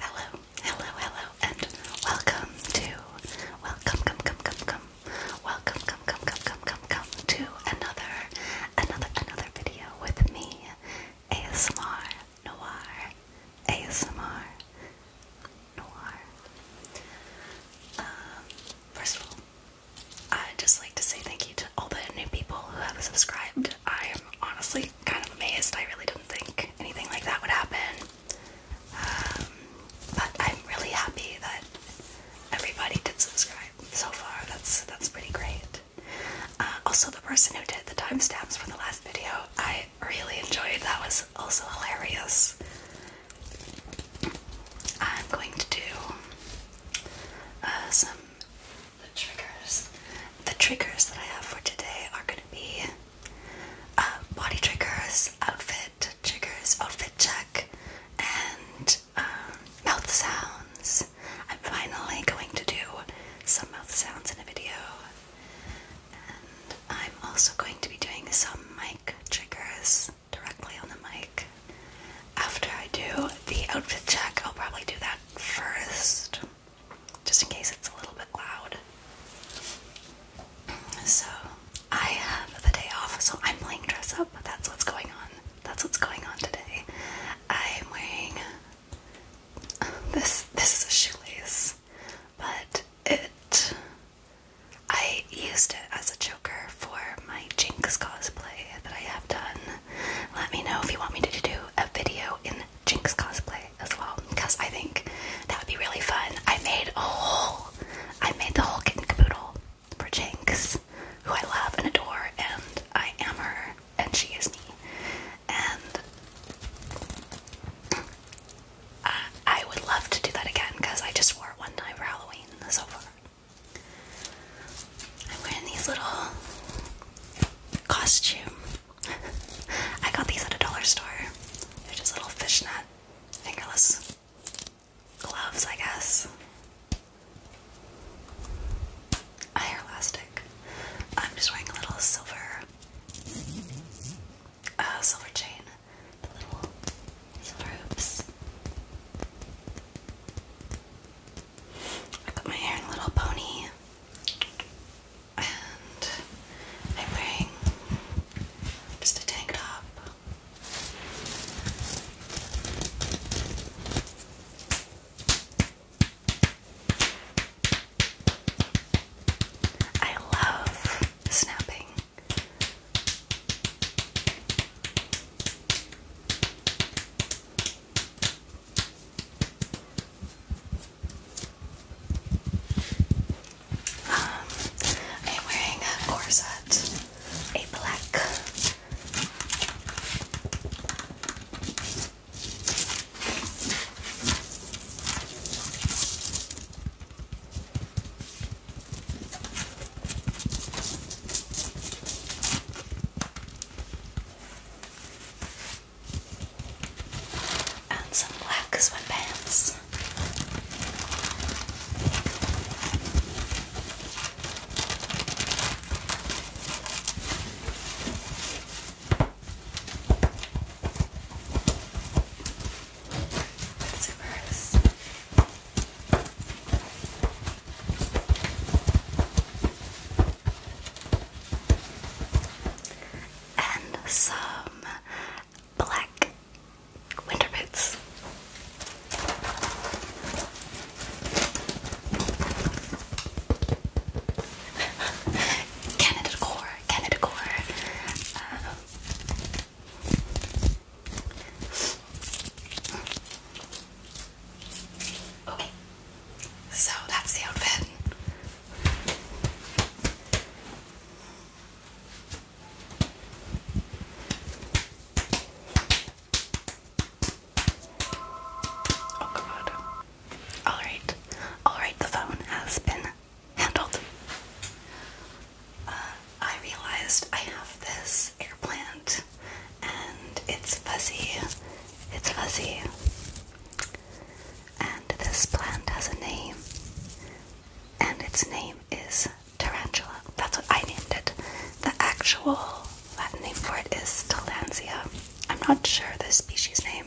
Hello, hello, hello, and welcome to welcome, come, come, come, come, welcome, come, come, come, come, come, come to another, another, another video with me, ASMR Noir, ASMR Noir. Um, first of all, i just like to say thank you to all the new people who have subscribed I am honestly kind of amazed. I really didn't think anything like that would happen. Um, but I'm really happy that everybody did subscribe so far. That's that's pretty great. Uh, also, the person who did the timestamps for the last video, I really enjoyed. That was also hilarious. I'm going to do uh, the triggers. The triggers that I have for today are going to be uh, body triggers, outfit triggers, outfit check, and um, mouth sounds. I'm finally going to do some mouth sounds in a video. And I'm also going to be doing some mic triggers directly on the mic. After I do the outfit check, I'll probably do that first just in case it's a little bit loud. So I have the day off, so I'm playing dress up. That's what's going on. That's what's going on today. I'm wearing this. This is a shoelace, but it. I used it as a choker for my Jinx cosplay that I have done. Let me know if you want me to do a video in Jinx cosplay as well because I think that would be really fun. I made a whole, I made the whole kit and caboodle for Jinx, who I love and adore, and I am her, and she is me. And uh, I would love to do that again because I just wore it one time for Halloween so far. I'm wearing these little costume I got these at a dollar store. They're just little fishnet, fingerless gloves, I guess. A hair elastic. I'm just wearing a little silver, uh, silver chain. The little silver hoops. I got my hair in a little pony and I'm just a tank top. I love snapping. Um, I'm wearing a corset, a black and some black sweatpants. Zippers and some black winter boots. Canada Core, Canada Core. Um, okay, so that's the outfit. Oh god. Alright. Alright, the phone has been handled. Uh, I realized I have this eggplant and it's fuzzy. It's fuzzy. And this plant has a name, and its name is tarantula. That's what I named it. The actual Latin name for it is Talansia. I'm not sure the species name.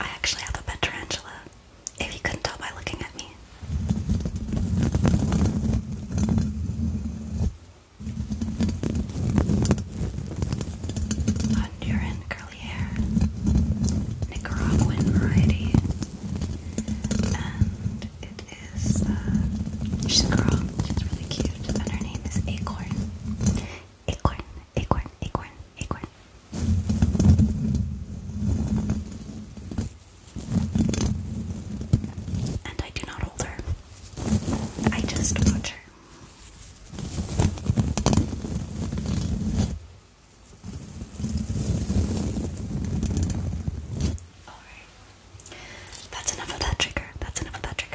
I actually have a pet tarantula, if you couldn't tell by looking at me. Honduran curly hair, Nicaraguan variety, and it is, uh, she's a girl, she's really cute, and her name is Acorn. Acorn, Acorn, Acorn, Acorn. And I do not hold her. I just watch her. Alright. That's enough of that trigger. That's enough of that trigger.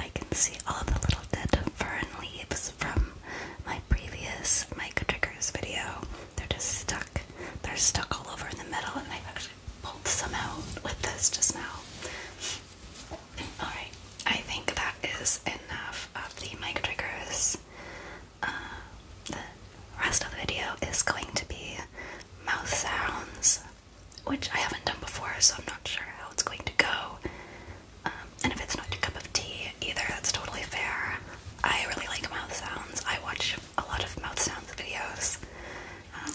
I can see all the little dead fern leaves from my previous mic triggers video. They're just stuck. They're stuck all over in the middle, and i actually pulled some out with this just now. Alright, I think that is enough of the mic triggers. Uh, rest of the video is going to be mouth sounds, which I haven't done before, so I'm not sure how it's going to go. Um, and if it's not your cup of tea either, that's totally fair. I really like mouth sounds. I watch a lot of mouth sounds videos. Um,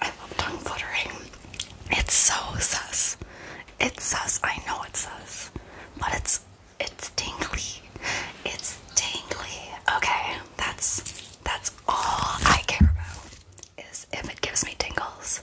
I love tongue fluttering. It's so sus. It says, I know it says, but it's it's tingly. It's tingly. Okay, that's that's all I care about is if it gives me tingles.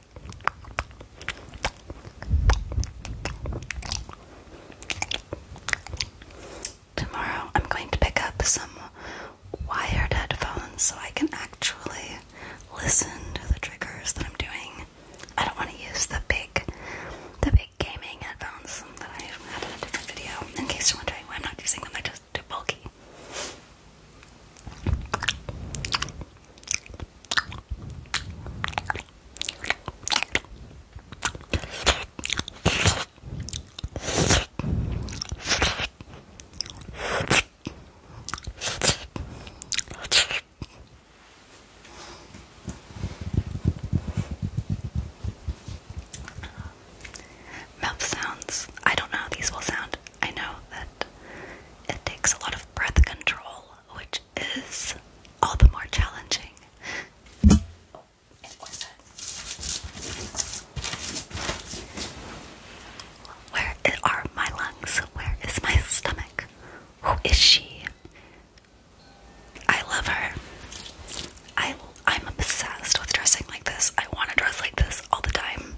Tomorrow I'm going to pick up some wired headphones so I can actually listen to the triggers that I'm doing. I don't want to use the big the big gaming headphones that I had in a different video. In case you're wondering why I'm not using them, they're just too bulky. Mouth sounds. I don't know how these will sound. I know that it takes a lot of breath control, which is all the more challenging. Where are my lungs? Where is my stomach? Who is she? I love her. I, I'm obsessed with dressing like this. I want to dress like this all the time.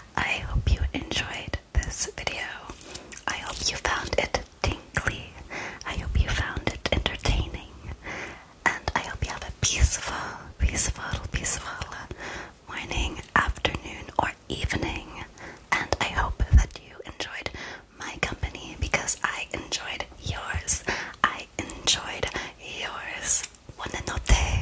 I hope you enjoyed this video. I hope you found it tinkly. I hope you found it entertaining. And I hope you have a peaceful, peaceful, peaceful morning, afternoon, or evening. And I hope that you enjoyed my company because I enjoyed yours. I enjoyed yours. Buonanotte.